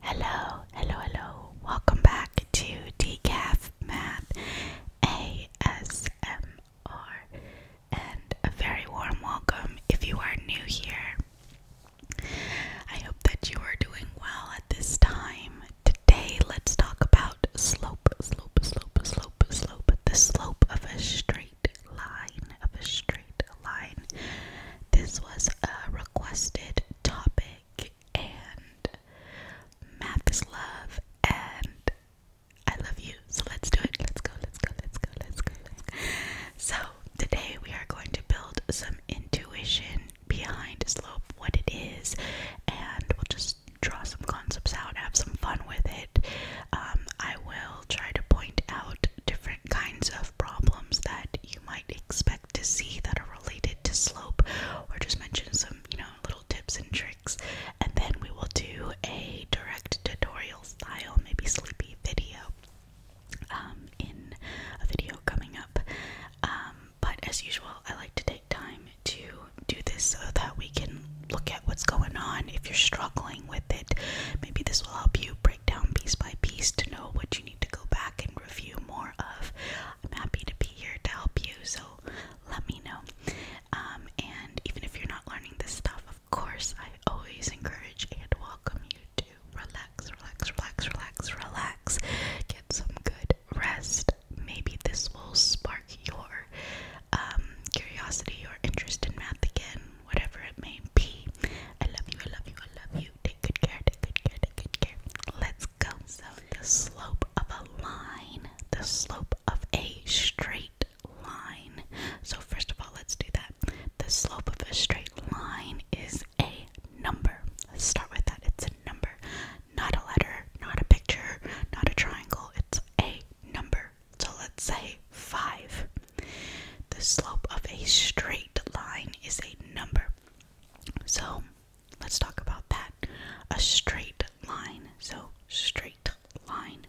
Hello, hello, hello. Welcome back to Decaf Math ASMR and a very warm welcome if you are new here. I hope that you are doing well at this time. Today, let's talk about slope, slope, slope, slope, slope, the slope of a straight line, of a straight line. This was a requested topic, and math is love, and I love you. So let's do it. Let's go, let's go, let's go, let's go. Let's go. So, today we are going to build some intuition behind slope, what it is, and we'll just draw some concepts out, have some fun with it. Um, I will try to point out different kinds of problems that you might expect to see that are related to slope or just mention some, you know, little tips and tricks. And then we will do a direct tutorial style, maybe sleepy video um, in a video coming up. Um, but as usual, I like to take time to do this so that we can look at what's going on if you're struggling with it. Maybe this will help you break down piece by piece to know what you need to go back and review more of, I'm happy to be here to help you. So let me know. Um, and even if you're not learning this stuff, of course, I always encourage and welcome you to relax, relax, relax, relax, relax. Get some good rest. Maybe this will spark your um, curiosity or interest in math again, whatever it may be. I love you, I love you, I love you. Take good care, take good care, take good care. Let's go. So, the slope of a line, the slope of a straight line. So, first of all, let's do that. The slope of a straight line is a number. Let's start with that. It's a number, not a letter, not a picture, not a triangle. It's a number. So, let's say 5 the slope of a straight line is a number. So let's talk about that. A straight line. So, straight line.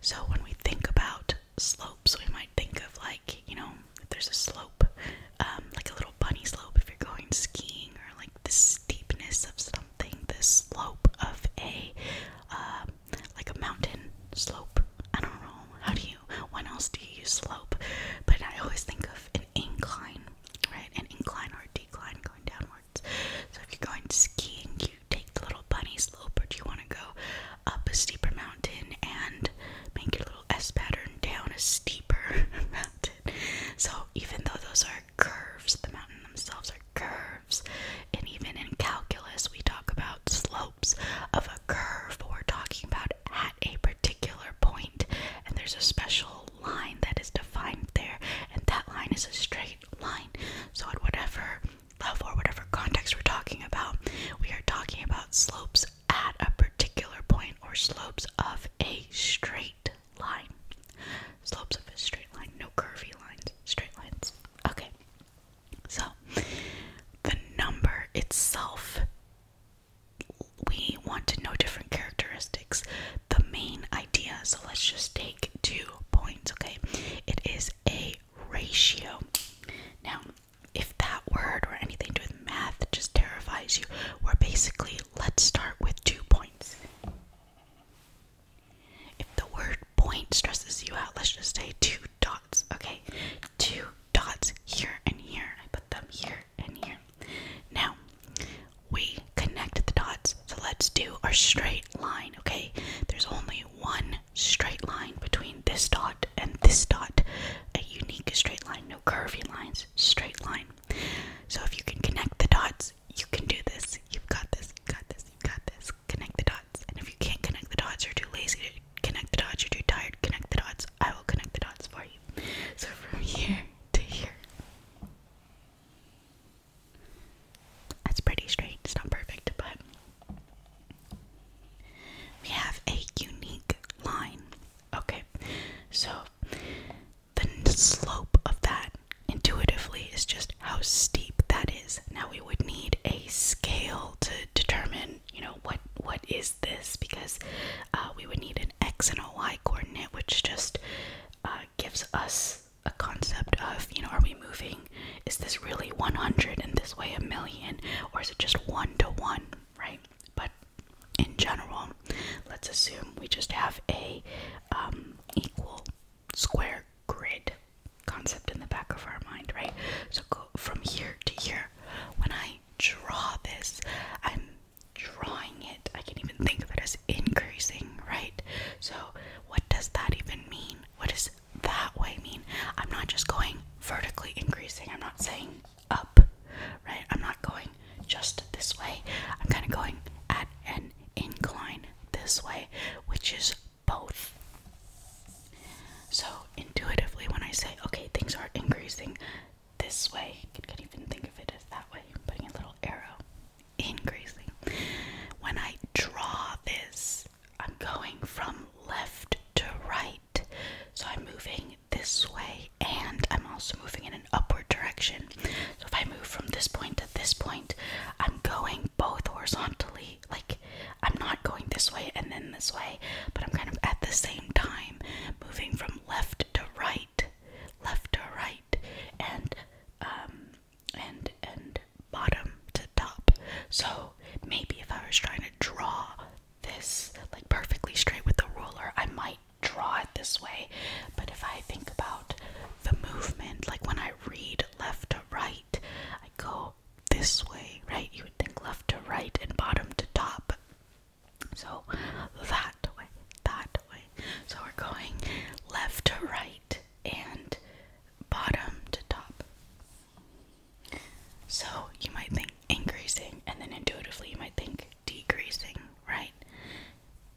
So, when we think about slopes, we might think of like, you know, if there's a slope, um, like a little bunny slope if you're going skiing, or like the steepness of something, the slope of a, uh, like a mountain slope. I don't know. How do you, when else do you use slope? But I always think of an incline, right? An incline or a decline going downwards. So if you're going skiing, you take the little bunny slope, But do you want to go up a steeper mountain and make your little S pattern down a steeper mountain? So even though those are curves, the mountain themselves are curves, and even in calculus, we talk about slope of a curve, we're talking about at a particular point, and there's a special line that is defined there, and that line is a straight line. So, at whatever level or whatever context we're talking about, we are talking about slopes at a particular point or slopes of a straight line. Slopes of a straight line, no curvy lines, straight lines. Okay, so the number itself we want to know different characteristics. The main idea, so let's just take two points, okay? It is a ratio. Now, if that word or anything to do with math just terrifies you, we're basically let's start with two points. If the word point stresses you out, let's just say two dots, okay? Two dots here and here. I put them here and here. Now, we connect the dots, so let's do our straight line, okay? There's only one straight line between this dot and this dot. A unique straight line, no curvy lines, straight line. So if you can connect the dots, you can do this. You've got this, you've got this, you've got this. Connect the dots. And if you can't connect the dots, you're too lazy to connect the dots. You're too tired. Connect the dots. I will connect the dots for you. So from here to here. That's pretty straight. It's not perfect, but we have a unique line. Okay, so the slope of that intuitively is just how steep that is. Now we would need a scale to determine, you know, what what is this because uh, we would need an x and a y coordinate, which just uh, gives us a concept of, you know, are we moving? Is this really 100 and this way a million? Or is it just one to one, right? But in general, let's assume we just have a um, equal square grid concept in the back of our mind, right? So go from here to here, when I draw this, I'm drawing it. I can not even think of it as increasing, right? So, what does that even mean? What does that way mean? I'm not just going vertically increasing, I'm not saying up, right? I'm not going just this way, I'm kind of going at an incline this way, which is both. So intuitively, when I say, okay, things are increasing this way, you can even think of it as that way, I'm putting a little arrow, increasing. When I draw this, I'm going from left to right. So I'm moving this way and I'm also moving in an upward direction. So if I move from this point to this point, I'm going both horizontally like, I'm not going this way and then this way, but I'm kind of at the same time moving from left to right, left to right, and um, and and bottom to top. So maybe if I was trying to draw this like perfectly straight with the ruler, I might draw it this way. But if I think about the movement, like when I read left to right, I go this way, right? You would think left to right and bottom to top. So that way, that way. So we're going left to right and bottom to top. So you might think increasing, and then intuitively you might think decreasing, right?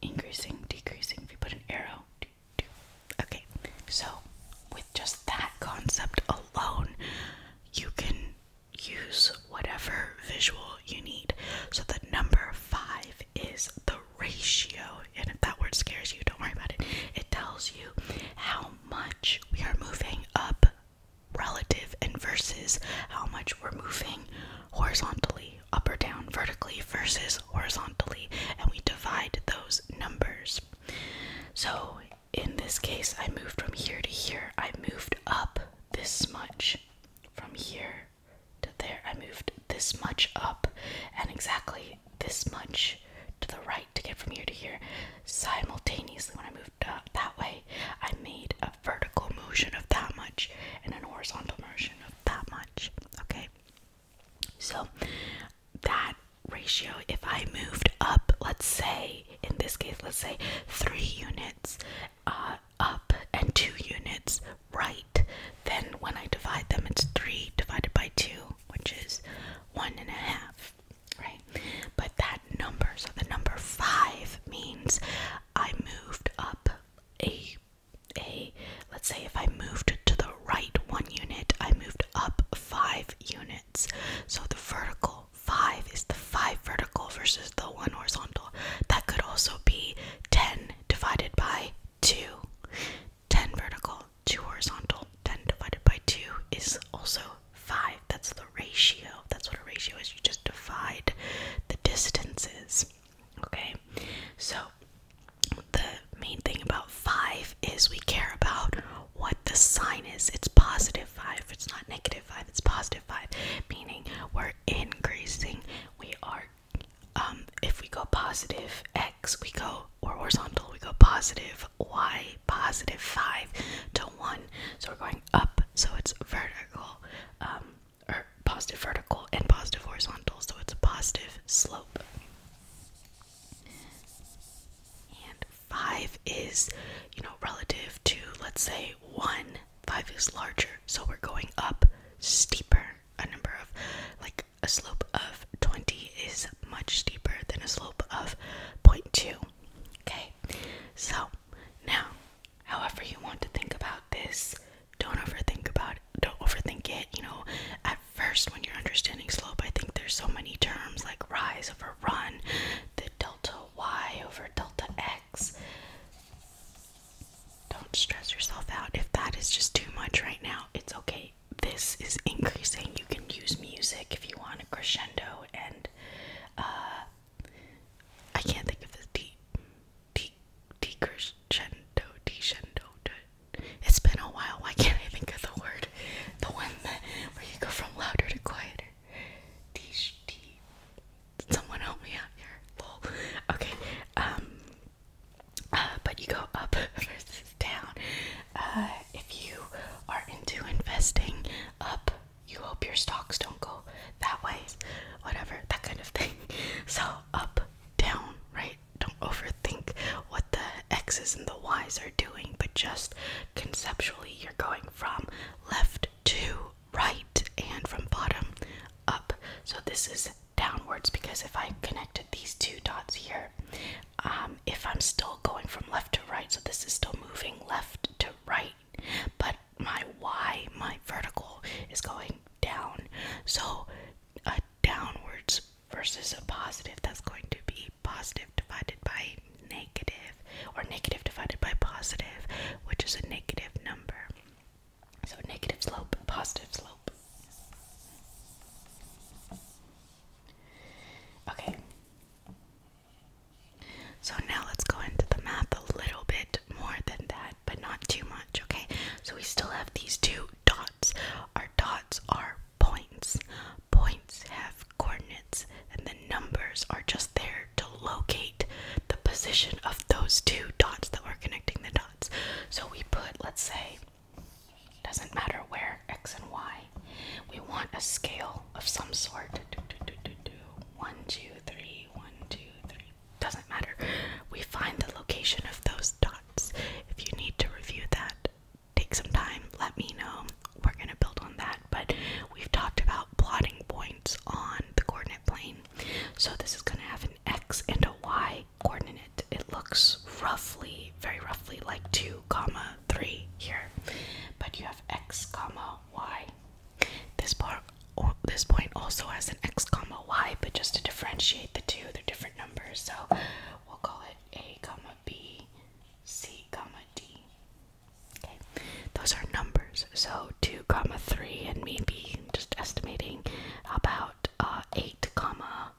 Increasing, decreasing. If you put an arrow, okay. So with just that concept alone, you can use whatever visual you need. So the number five is the ratio. And if that word scares you, don't worry about it. It tells you how much we are moving up relative and versus how much we're moving horizontally, up or down, vertically versus horizontally. And we divide those numbers. So in this case, I moved from here to here. I moved up this much from here to there. I moved this much up and exactly this much to the right to get from here to here. Simultaneously, when I moved up that way, I made a vertical motion of that much and an horizontal motion of that much. Okay, so that ratio, if I moved up, let's say, in this case, let's say three units uh, up and two units right, then when I divide them, it's three divided by two, which is one and a half, right? But that number, so the number five means I moved up a a let's say if I moved to the right one unit, I moved up five units. So the vertical 5 is the 5 vertical versus the 1 horizontal. That could also be 10 divided by 2. 10 vertical, 2 horizontal. 10 divided by 2 is also 5. That's the ratio. That's what a ratio is. You just divide the distances. Okay? So the main thing about 5 is we care about what the sign is. It's positive 5. It's not negative 5. It's positive 5, meaning we're increasing. We are um if we go positive x, we go or horizontal, we go positive y, positive 5 to 1. So we're going up. So it's vertical um or positive vertical and positive horizontal. So it's a positive slope five is, you know, relative to, let's say, one, five is larger. So we're going up steeper. A number of, like, a slope of 20 is much steeper than a slope of 0.2. Okay, so now, however you want to think about this, don't overthink about it. Don't overthink it. You know, first when you're understanding slope, I think there's so many terms like rise over run, the delta y over delta x. Don't stress yourself out. If that is just too much right now, it's okay. This is increasing. You can use music if you want a crescendo and uh I can't think of the D D decrescendo, decrescendo. It's been a while. Why can't I think of the word? The one where you go from louder to quieter. Deesh, Someone help me out here. Okay. Um, uh, but you go up versus down. Uh, if you are into investing, up. You hope your stocks don't go that way. Whatever. That kind of thing. So up, down, right. Don't overthink what the X's and the Y's are doing but just conceptually, you're going from left to right and from bottom up. So this is downwards because if I connected these two dots here, um, if I'm still going from left to right, so this is still moving left to right, but my y, my vertical, is going down. So a downwards versus a positive, that's going to be positive divided by negative, or negative divided by positive, which is a negative number. So negative slope, positive slope. Okay. So now let's go into the math a little bit more than that, but not too much, okay? So we still have these two dots. Our dots are points. Points have coordinates, and the numbers are just there to locate the position of those two dots that we are connecting the dots. So we put, let's say, doesn't matter where, x and y. We want a scale of some sort. One, two, three, one, two, three. Doesn't matter. We find the location of those dots. If you need to review that, take some time, let me know. We're going to build on that, but we've talked about plotting points on the coordinate plane. So this is going to have an x and a y coordinate. It looks roughly, very roughly like 2, comma 3 here. But you have x, comma y. This part this point also has an x comma y, but just to differentiate the two, they're different numbers. So we'll call it a comma b C comma D. Okay, those are numbers. So two comma three, and maybe just estimating about uh, eight comma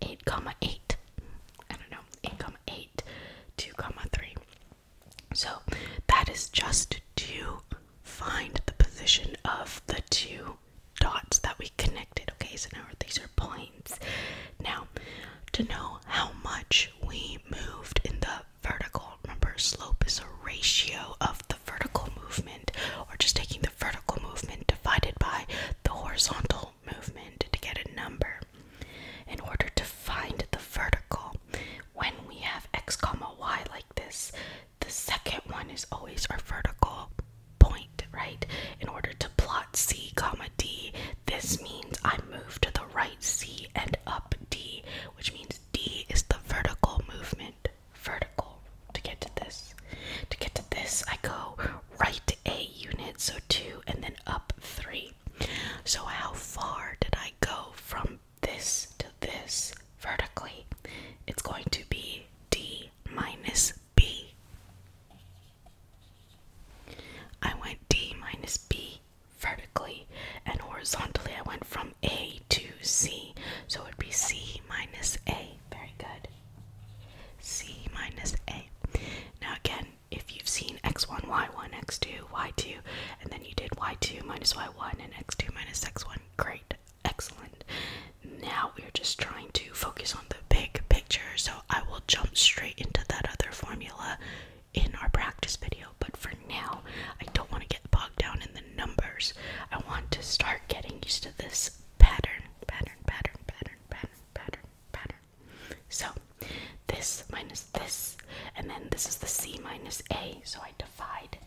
eight comma eight. I don't know, eight comma eight, two comma three. So that is just to find the position of the two dots that we connected. Okay, so now these are points. Now, to know how much we moved in the vertical, remember slope is a ratio of the vertical movement, or just taking the vertical movement divided by the horizontal movement to get a number. In order to find the vertical, when we have x comma y like this, the second one is always our vertical point, right? In order to plot C comma D, this means I move to the right C and up D, which means D is the vertical movement. Vertical. To get to this. To get to this, I go right A unit, so two, and then up three. So how far did I go from this to this vertically? It's going to be D minus B. I went D minus B vertically and horizontally I went from A to C. So it would be C minus A. Very good. C minus A. Now again, if you've seen x1, y1, x2, y2, and then you did y2 minus y1 and x2 minus x1, great, excellent. Now we're just trying to focus on the big picture, so I will jump straight into that other formula in our practice video. But for now, I don't want to get bogged down in the numbers. I want to start getting used to this pattern, pattern, pattern, pattern, pattern, pattern, pattern. So this minus this, and then this is the c minus a, so I divide.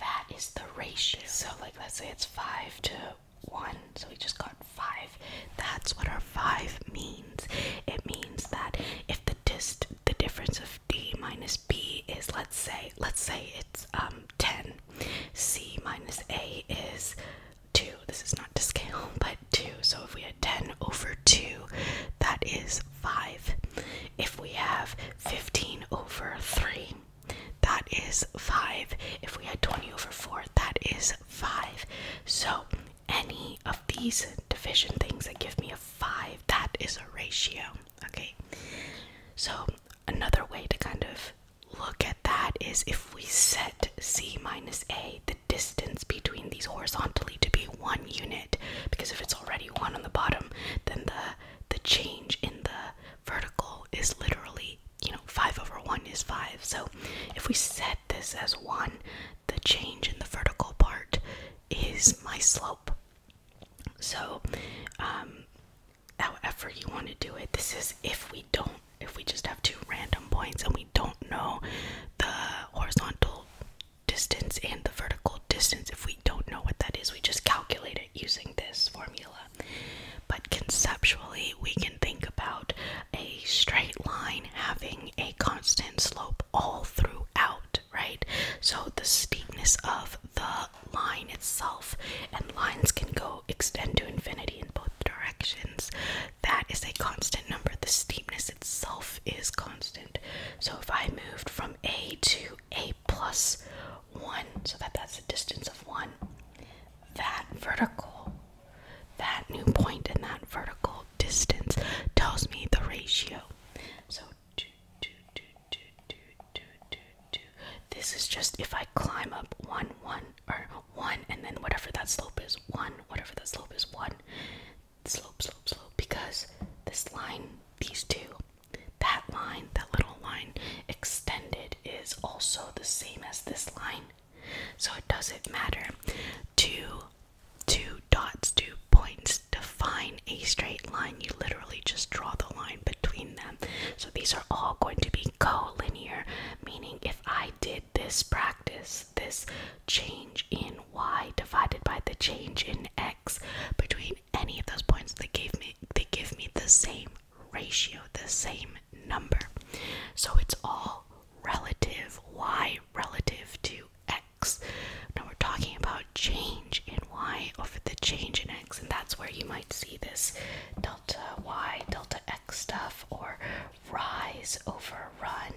That is the ratio. So, like, let's say it's 5 to one, so we just got five. That's what our five means. It means that if the dist the difference of d minus b is let's say let's say it's um 10, c minus a is two. This is not to scale, but two. So if we had 10 over two, that is five. If we have 15 over three, that is 5. If we had 20 over 4, that is 5. So any of these division things that give me a 5, that is a ratio. Okay? So another way to kind of look at that is if we set c minus a, the distance between these horizontally to be one unit, because if it's already one on the bottom, then the the change in the vertical is literally, you know, 5 over 1 is 5. So if we set this as 1, the change in the vertical part is my slope. So, um, however you want to do it, this is if we don't, if we just have two random points and we don't know the horizontal distance and the vertical distance, if we don't know what that is, we just calculate it using this formula. But conceptually, we can think about a straight line having a constant slope all throughout, right? So the steepness of the line itself, and lines can go extend to infinity in both directions. That is a constant number. The steepness itself is constant. So if I moved from A to A plus 1, so that that's a distance of 1. That vertical, that new point and that vertical distance tells me the ratio. So This is just if I climb up 1, 1, or 1, and then whatever that slope is, 1, whatever that slope is, 1. Slope, slope, slope, because this line, these two, that line, that little line extended is also the same as this line. So it doesn't matter. Two two dots, two points define a straight line. You literally just draw the line between them. So these are all going to be collinear, meaning if I did this practice, this change in y divided by the change in x between any of those points, they gave me they give me the same ratio, the same number. So it's all relative. Y relative to X. Now we're talking about change in Y over the change in X, and that's where you might see this delta Y, delta X stuff, or rise over run,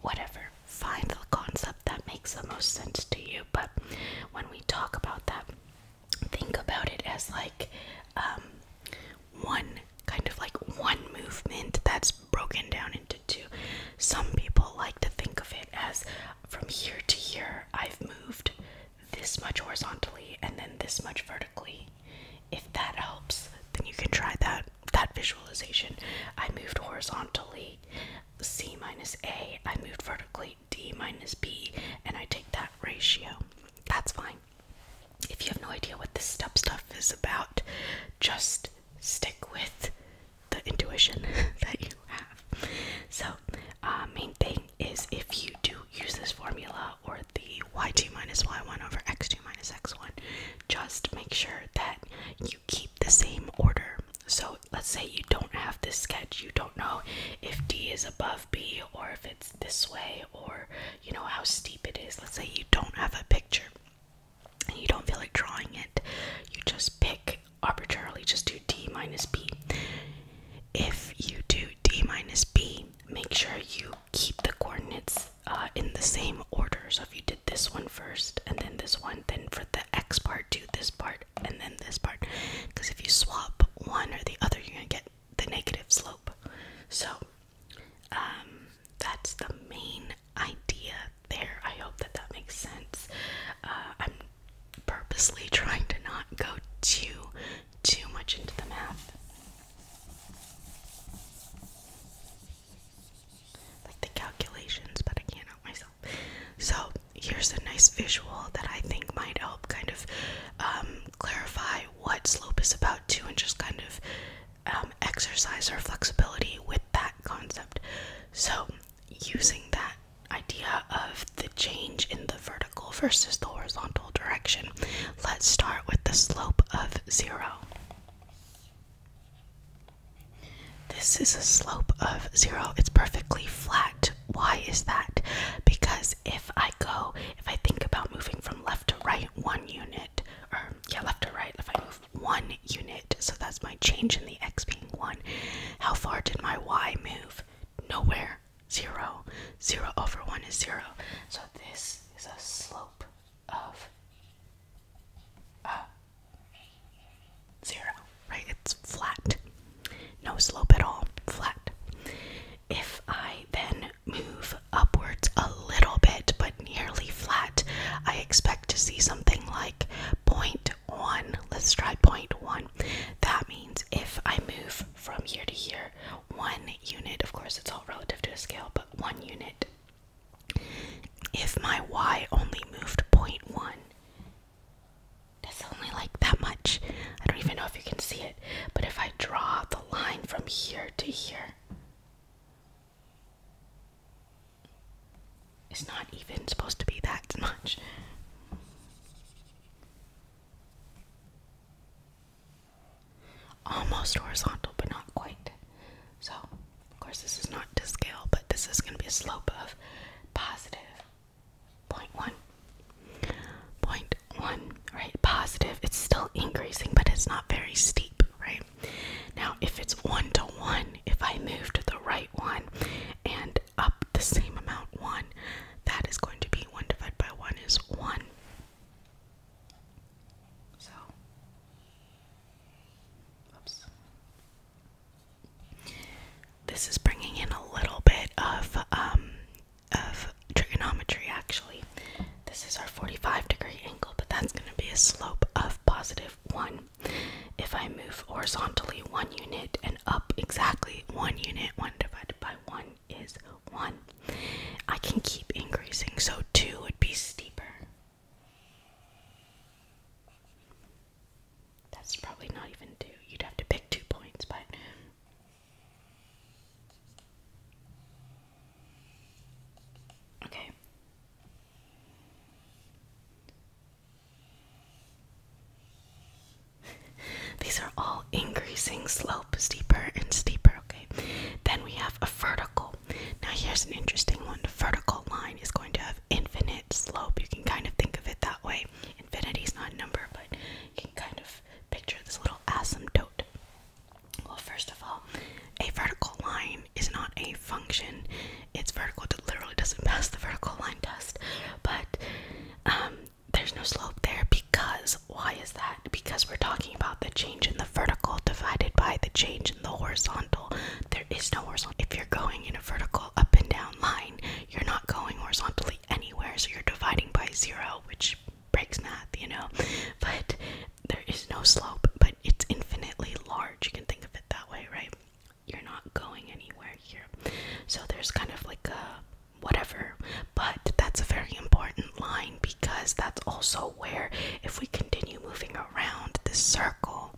whatever. Find the concept that makes the most sense to you. But when we talk about that, think about it as like um, one kind of like one movement that's broken down into two. Some people like to think of it as from here to here, I've moved this much horizontally and then this much vertically. If that helps, then you can try that that visualization. I moved horizontally, C minus A, I moved vertically, D minus B, and I take that ratio. That's fine. If you have no idea what this step stuff is about, just stick with the intuition that you have. So, uh, main thing is if you do use this formula or the y2 minus y1 over x2 minus x1, just make sure that you keep the same order. So, let's say you don't have this sketch, you don't know if d is above b or if it's this way or you know how steep it is let's say you don't have a picture and you don't feel like drawing it you just pick arbitrarily just do d minus b if you do d minus b make sure you keep the coordinates uh, in the same order so if you did this one first and then this one then for the x part do this part and then this part because if you swap one or the other you're gonna get the negative slope. So um, that's the main idea there. I hope that that makes sense. Uh, I'm purposely trying to not go too too much into the math. Like the calculations, but I can't help myself. So here's a nice visual that I think might help kind of um, clarify what slope is about too and just kind of um, exercise our flexibility with that concept. So, using that idea of the change in the vertical versus the horizontal direction, let's start with the slope of zero. This is a slope of zero, it's perfectly flat. Why is that? Because if I go, if I think about moving from left to right one unit, or yeah, left to right, if I move one unit, so that's my change in the x being one, how far did my y move? Nowhere. Zero. Zero over one is zero. So this is a slope of uh, zero, right? It's flat no slope at all, flat. If I then move upwards a little bit but nearly flat, I expect to see something like 0.1. Let's try 0.1. That means if I move from here to here, one unit, of course it's all relative to a scale, but one unit. If my y only moved 0.1, that's only like that much. I don't even know if you can see it, but if I draw the line from here to here, it's not even supposed to be that much. Almost horizontal, but not quite. So, of course, this is not to scale, but this is going to be a slope of positive Point one. Point right? Positive. It's still increasing, but it's not very steep, right? Now, if it's one to one, if I move to the right one and up the same amount, one, that is going to be one divided by one is one. So, oops. This is bringing in a little bit of um of trigonometry actually. This is our 45 degree angle, but that's going to be a slope of positive 1. If I move horizontally 1 unit and up exactly 1 unit, 1 divided by 1 is 1. I can keep increasing, so 2 would be steeper. That's probably not even 2. You'd have to pick 2 points, but Okay. These are all increasing slope, steeper and steeper, okay? Then we have a vertical. Now, here's an interesting one the vertical line is going to have infinite slope. You can kind of think of it that way. Infinity is not a number, but you can kind of picture this little asymptote. Well, first of all, a vertical line is not a function. It's vertical, it literally doesn't pass the vertical line test. But um, there's no slope there because, why is that? Because we're talking about the change in the vertical divided by the change in the horizontal. There is no horizontal. If you're going in a vertical up and down line, you're not going horizontally anywhere, so you're dividing by zero, which breaks math, you know. But there is no slope, but it's infinitely large. You can think of it that way, right? You're not going anywhere here. So there's kind of like a whatever, but that's a very important line because that's also where, if we continue moving around this circle,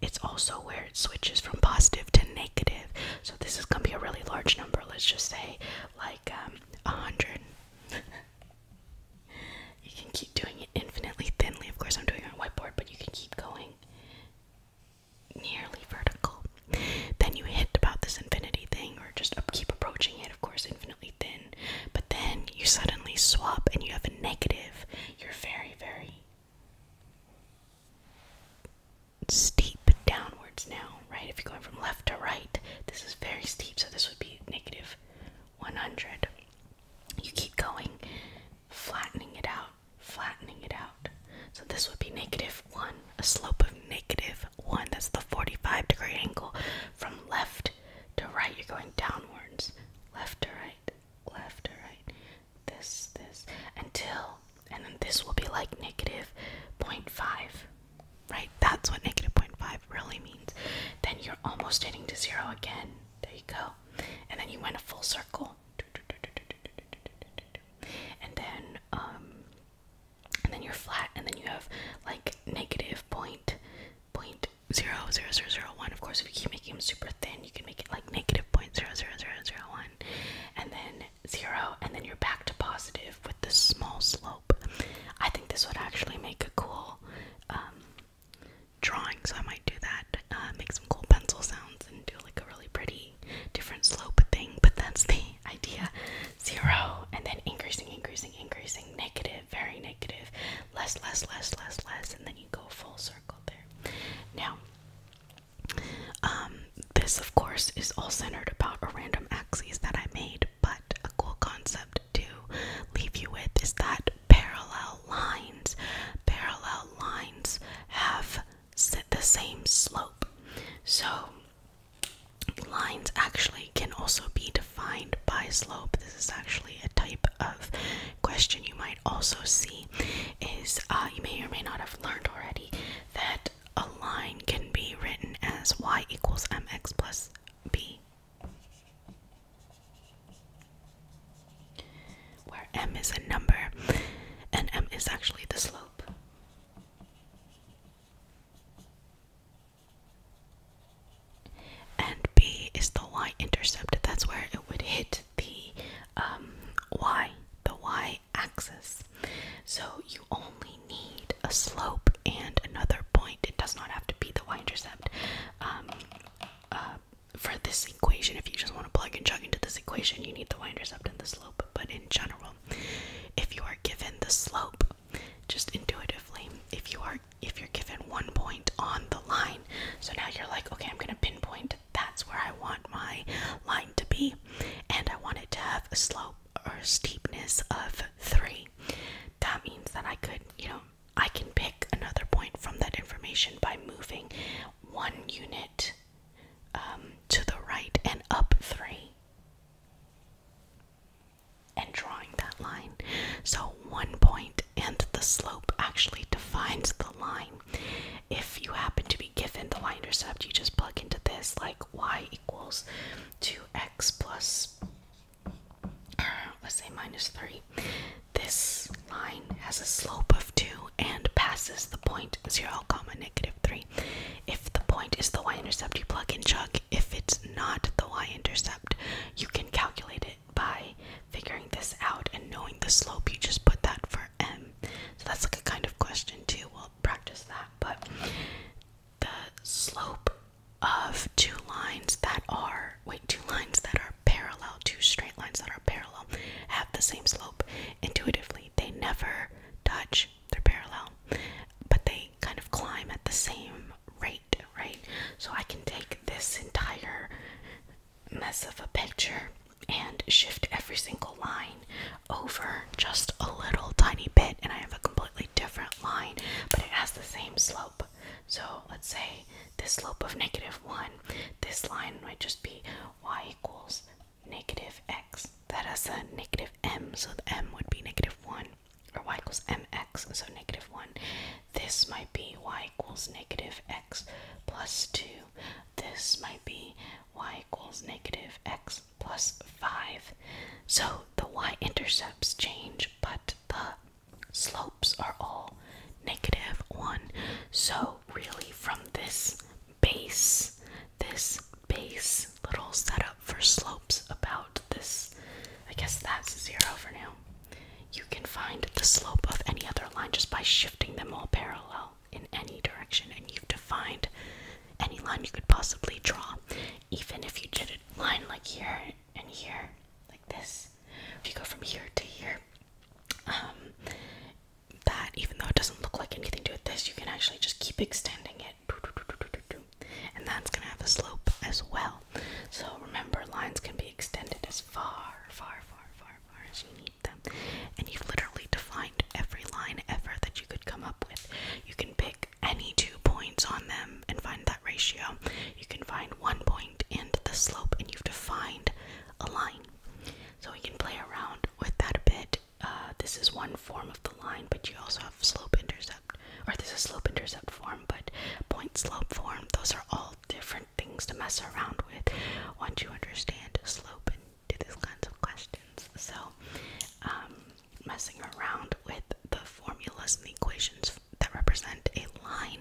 it's also where it switches from positive to negative. So this is gonna be a really large number. Let's just say like um, a hundred. you can keep doing it infinitely thinly. Of course, I'm doing it on whiteboard, but you can keep going nearly vertical. Then you hit about this infinity thing, or just keep approaching it. Of course, infinitely thin. But then you suddenly swap, and you have a negative. You're very, very steep downwards now, right? If you're going from left to right, this is very steep, so this would be negative 100. You keep going, flattening it out, flattening it out. So this would be negative 1, a slope of negative 1. That's the 45 degree angle. From left to right, you're going downwards. Left to right, left to right this, this, until, and then this will be like negative negative, point five, right? That's what negative negative point five really means. Then you're almost hitting to zero again. There you go. And then you went a full circle. And then, um, and then you're flat, and then you have like negative point point zero zero zero zero one. Of course, if you keep making them super thin, you can make it like negative point zero zero zero zero one, and then zero and then you're back to positive with this small slope. I think this would actually make a cool um, drawing, so I might do that. Uh, make some cool pencil sounds and do like a really pretty different slope thing, but that's the idea. Zero and then increasing, increasing, increasing, negative, very negative, less, less, less, less, less, and then you go full circle there. Now, um, this, of course, is all centered about a random axis that I made, but a cool concept to leave you with is that parallel lines, parallel lines have the same slope. So lines actually can also be defined by slope. This is actually a type of question you might also see. Is uh, you may or may not have learned already that a line can be written as y equals mx plus b, where m is a number and m is actually the slope. And b is the y intercept, that's where it would hit the um, y, the y axis. So you only need a slope and another point. It does not have to be the y intercept. Um, uh, for this equation, if you just want to plug and chug into this equation, you need the y intercept and the slope. But in general, if you are given the slope, just intuitively, if you are if you're given one point on the line, so now you're like, okay, I'm gonna pinpoint that's where I want my line to be, and I want it to have a slope or steepness of three. That means that I could, you know, I can pick another point from that information by moving one unit um, to the right and up three and drawing that line. So, one point and the slope actually defines the line. If you happen to be given the y intercept, you just plug into this like y equals 2x plus, uh, let's say minus 3. This line has a slope of 2 and passes the point 0, comma, negative 3. If the point is the y-intercept, you plug and chuck. If it's not the y-intercept, you can calculate it by figuring this out and knowing the slope. You just put that first. Um, so that's like a kind of question too. We'll practice that. But the slope of two lines that are wait, two lines that are parallel, two straight lines that are parallel have the same slope intuitively. They never touch, they're parallel, but they kind of climb at the same rate, right? So I can take this entire mess of a picture and shift every single line over just a little tiny bit and I have a completely different line but it has the same slope. So let's say this slope of negative 1, this line might just be y equals negative x. That has a negative m, so the m would be negative 1 or y equals mx, so negative 1. This might be y equals negative x plus 2. This might be y equals negative x plus 5. So the y-intercepts change, but the slopes are all negative 1. So really from this base, this base little setup for slopes about this, I guess that's 0 for now. You can find the slope of any other line just by shifting them all parallel in any direction and you've defined any line you could possibly draw. Even if you did a line like here and here, like this, if you go from here to here, um, that even though it doesn't look like anything to it, this you can actually just keep extending it, and that's gonna have a slope as well. So remember, lines can be extended as far, far, far, far, Marginita. And you've literally defined every line ever that you could come up with. You can pick any two points on them and find that ratio. You can find one point and the slope, and you've defined a line. So we can play around with that a bit. Uh, this is one form of the line, but you also have slope intercept, or this is slope intercept form, but point slope form. Those are all different things to mess around with once you understand slope and do these kinds of questions. So, um, messing around with the formulas and the equations that represent a line,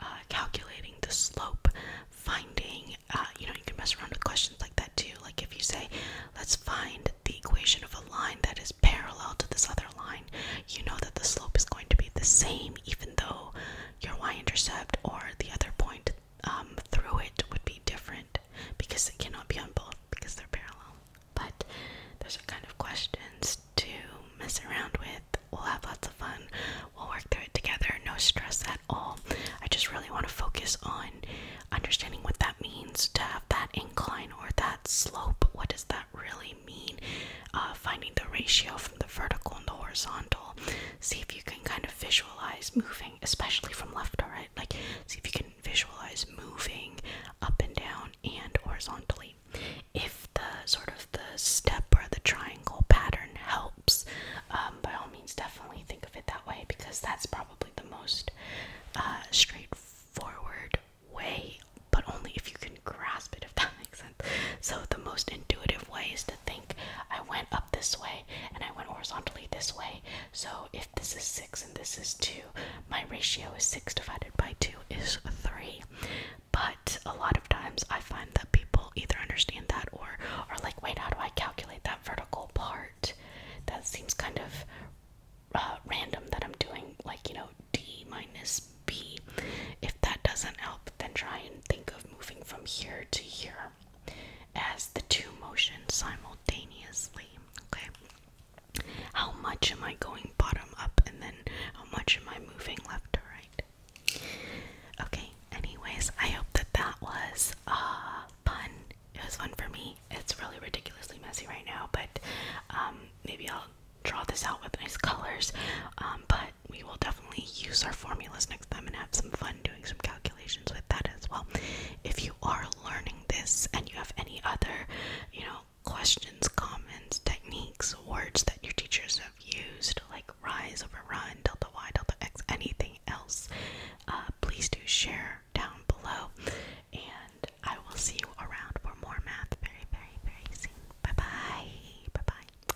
uh, calculating the slope, finding, uh, you know, you can mess around with questions like that too. Like if you say, let's find the equation of a line that is parallel to this other line, you know that the slope is going to be the same, even though your y intercept or the other point um, through it would be different because it cannot be on both because they're parallel. But there's a kind of questions to mess around with. We'll have lots of fun. We'll work through it together. No stress at all. I just really want to focus on understanding what that means to have that incline or that slope. What does that really mean? Uh, finding the ratio from the vertical and the horizontal. See if you you can kind of visualize moving, especially from left to right. Like, see if you can visualize moving up and down and horizontally. If the sort of the step or the triangle pattern helps, um, by all means, definitely think of it that way because that's probably the most uh, straightforward way, but only if you can grasp it, if that makes sense. So, the most intuitive way is to think I went up this way and I went horizontally this way. So if this is 6 and this is 2, my ratio is 6 divided by 2 is 3. But a lot of times I find that people either understand that or are like, wait, how do I calculate that vertical part? That seems kind of uh, random that I'm doing, like, you know, d minus b. If that doesn't help, then try and think of moving from here to here as the two motion simultaneously. Okay. How much am I going bottom up and then how much am I moving left to right? Okay, anyways, I hope that that was uh fun. It was fun for me. It's really ridiculously messy right now, but um maybe I'll draw this out with nice colors. Um but we will definitely use our formulas next time and have some fun doing some calculations with that as well. If you are learning this and you have any other, you know, questions, comments, techniques, words that your teachers have used, like rise over run, delta y, delta x, anything else, uh, please do share down below. And I will see you around for more math very, very, very soon. Bye bye. Bye bye.